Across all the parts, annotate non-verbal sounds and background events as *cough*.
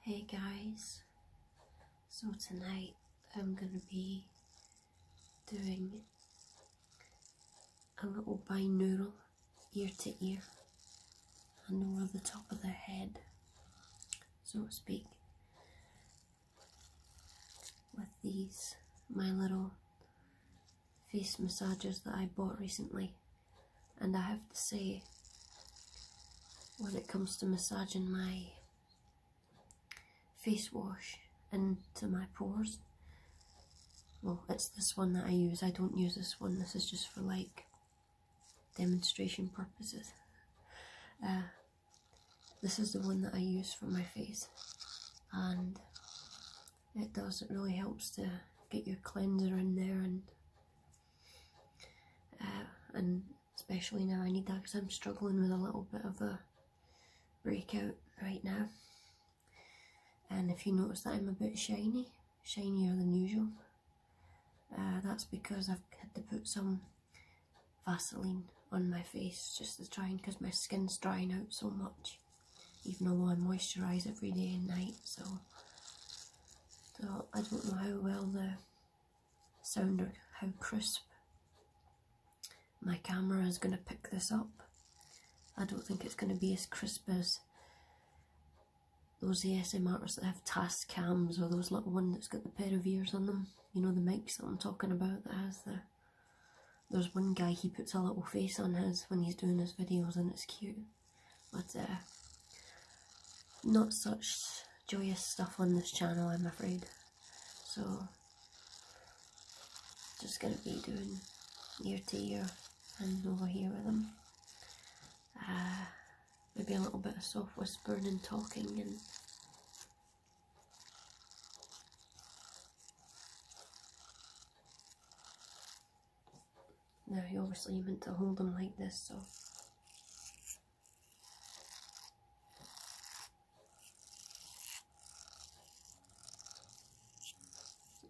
Hey guys, so tonight I'm gonna be doing a little binaural ear to ear and over the top of the head, so to speak, with these my little face massagers that I bought recently and I have to say, when it comes to massaging my face wash into my pores, well, it's this one that I use. I don't use this one, this is just for like demonstration purposes. Uh, this is the one that I use for my face, and it does, it really helps to get your cleanser in there and uh, and especially now I need that because I'm struggling with a little bit of a breakout right now. And if you notice that I'm a bit shiny, shinier than usual, uh, that's because I've had to put some Vaseline on my face just to try and because my skin's drying out so much even though I moisturise every day and night so Though I don't know how well the sound or how crisp my camera is going to pick this up. I don't think it's going to be as crisp as those ASM artists that have TAS cams or those little one that's got the pair of ears on them. You know the mics that I'm talking about that has the... There's one guy, he puts a little face on his when he's doing his videos and it's cute but uh, not such joyous stuff on this channel, I'm afraid. So, just gonna be doing ear to ear and over here with them. Uh, maybe a little bit of soft whispering and talking and now, you obviously meant to hold them like this, so.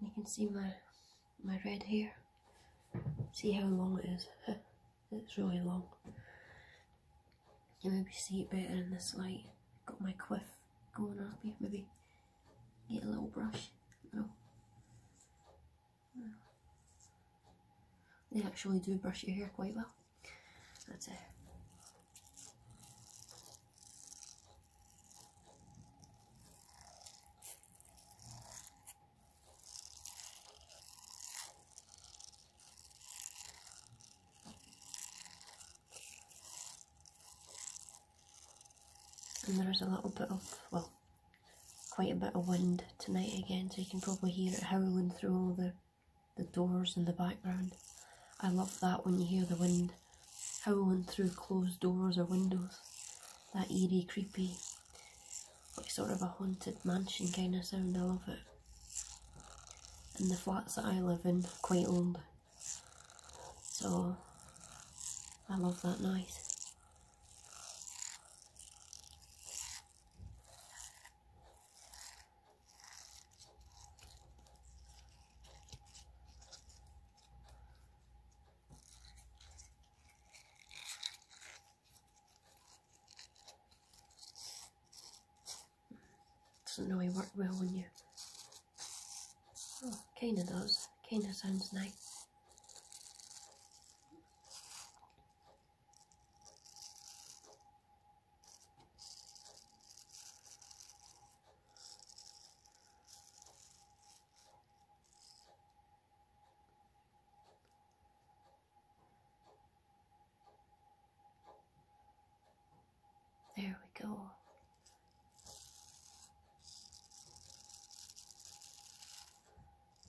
You can see my my red hair. See how long it is. *laughs* it's really long. You can maybe see it better in this light. Got my quiff going up here, maybe Get a little brush, little. They actually do brush your hair quite well. That's it. and there's a little bit of well quite a bit of wind tonight again, so you can probably hear it howling through all the, the doors in the background. I love that when you hear the wind howling through closed doors or windows. That eerie, creepy, like sort of a haunted mansion kind of sound. I love it. And the flats that I live in quite old, so I love that noise. Doesn't really work well when you Oh, Kana does. Kana sounds nice. There we go.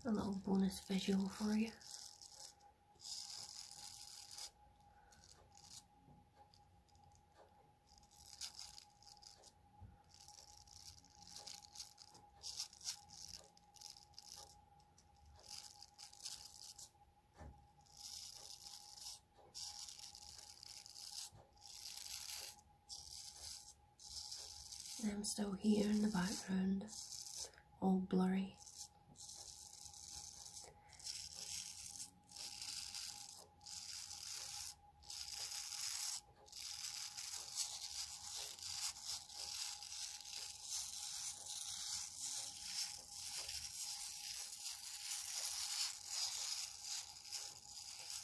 A little bonus visual for you. And I'm still here in the background, all blurry.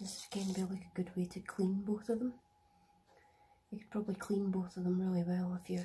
This would kind of be like a good way to clean both of them. You could probably clean both of them really well if you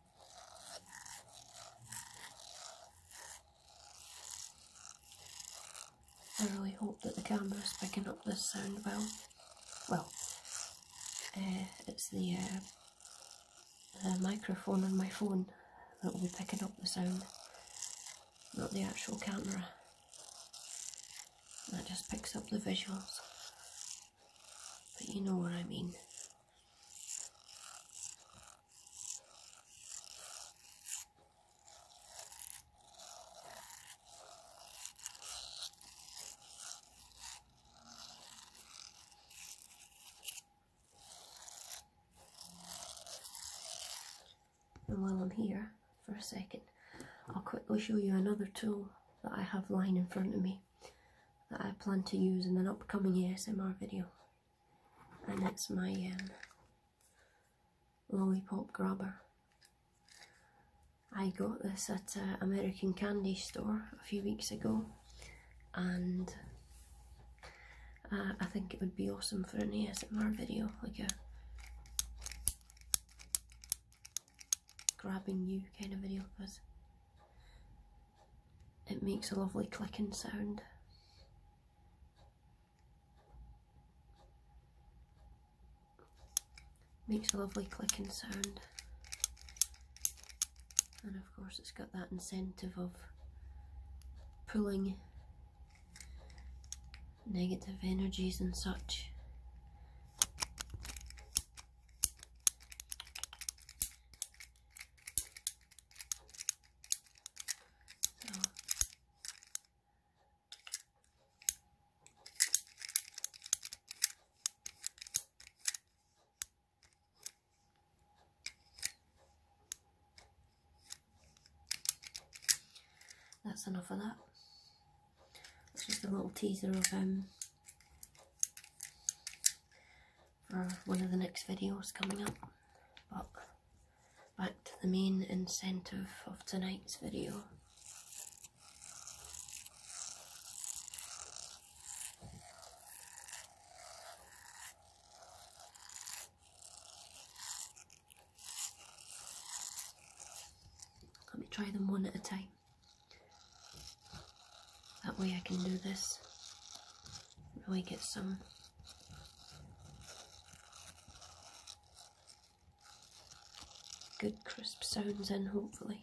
I really hope that the camera is picking up the sound well. Well, uh, it's uh, the microphone on my phone that will be picking up the sound, not the actual camera. That just picks up the visuals. But you know what I mean. And while I'm here for a second, I'll quickly show you another tool that I have lying in front of me that I plan to use in an upcoming ASMR video, and it's my um, lollipop grabber. I got this at an uh, American candy store a few weeks ago, and uh, I think it would be awesome for an ASMR video, like a grabbing you kind of video because it makes a lovely clicking sound. Makes a lovely clicking sound. And of course it's got that incentive of pulling negative energies and such that's enough of that. It's just a little teaser of him. Um, for one of the next videos coming up. But back to the main incentive of tonight's video. Let me try them one at a time. That way I can do this, really get some good crisp sounds in, hopefully.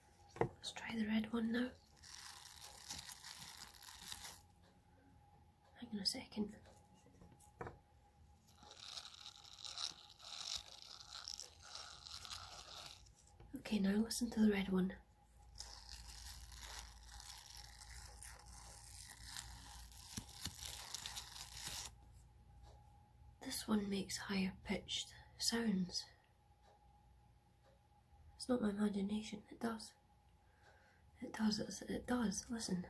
Let's try the red one now. Hang on a second. Okay, now listen to the red one. This one makes higher pitched sounds. It's not my imagination, it does. It does, it does, listen.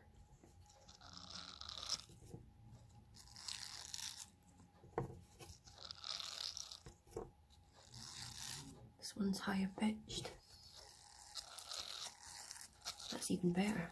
This one's higher pitched. That's even better.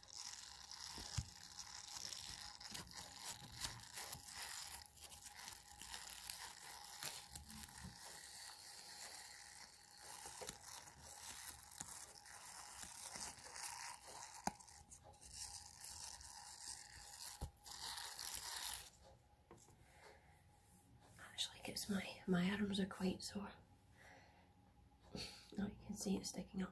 Actually gives my my arms are quite sore. Now you can see it sticking up.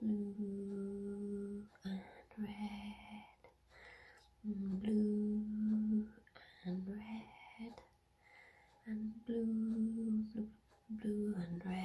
blue and red, blue and red, and blue, blue, blue and red.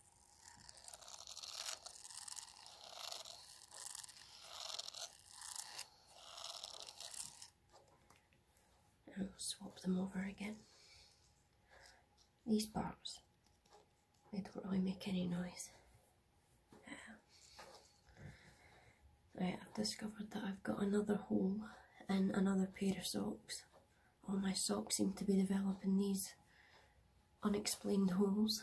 and swap them over again. These bars, they don't really make any noise. Right, I've discovered that I've got another hole in another pair of socks. All my socks seem to be developing these unexplained holes.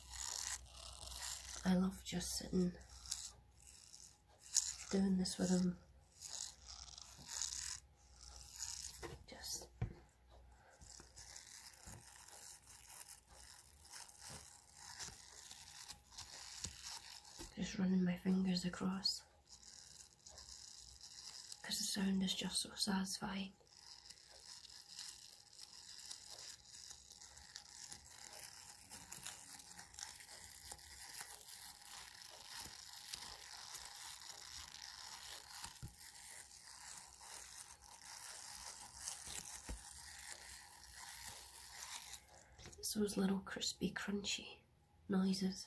I love just sitting doing this with him. Just just running my fingers across because the sound is just so satisfying those little crispy, crunchy noises.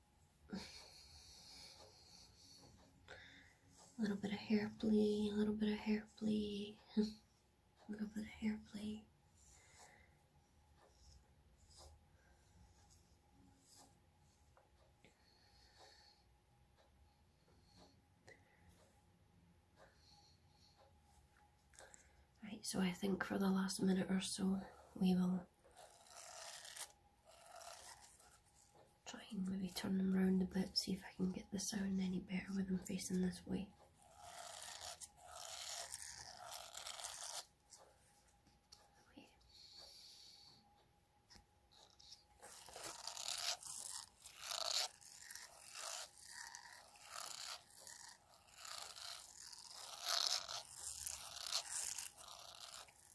A little bit of hair play, a little bit of hair play, *laughs* a little bit of hair play. Right, so I think for the last minute or so, we will Try and maybe turn them round a bit, see if I can get the sound any better with them facing this way.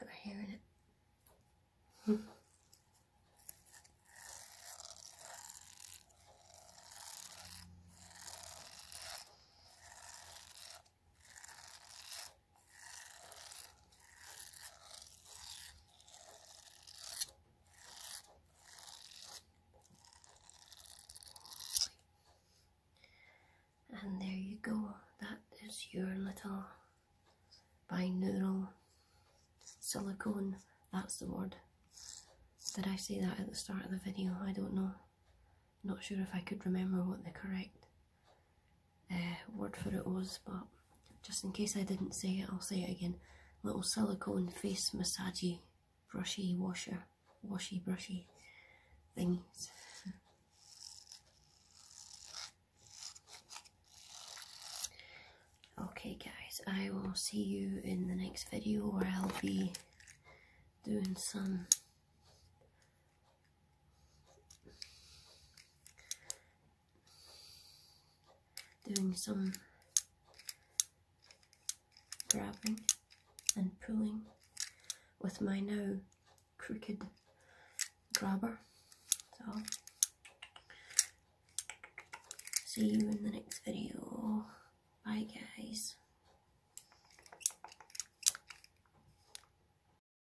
Got hair in it. Hmm. And there you go, that is your little binaural silicone, that's the word. Did I say that at the start of the video? I don't know. Not sure if I could remember what the correct uh, word for it was, but just in case I didn't say it, I'll say it again. Little silicone face massagey, brushy washer, washy brushy thingies. okay guys, I will see you in the next video where I'll be doing some doing some grabbing and pulling with my now crooked grabber. So, see you in the next video. Bye guys.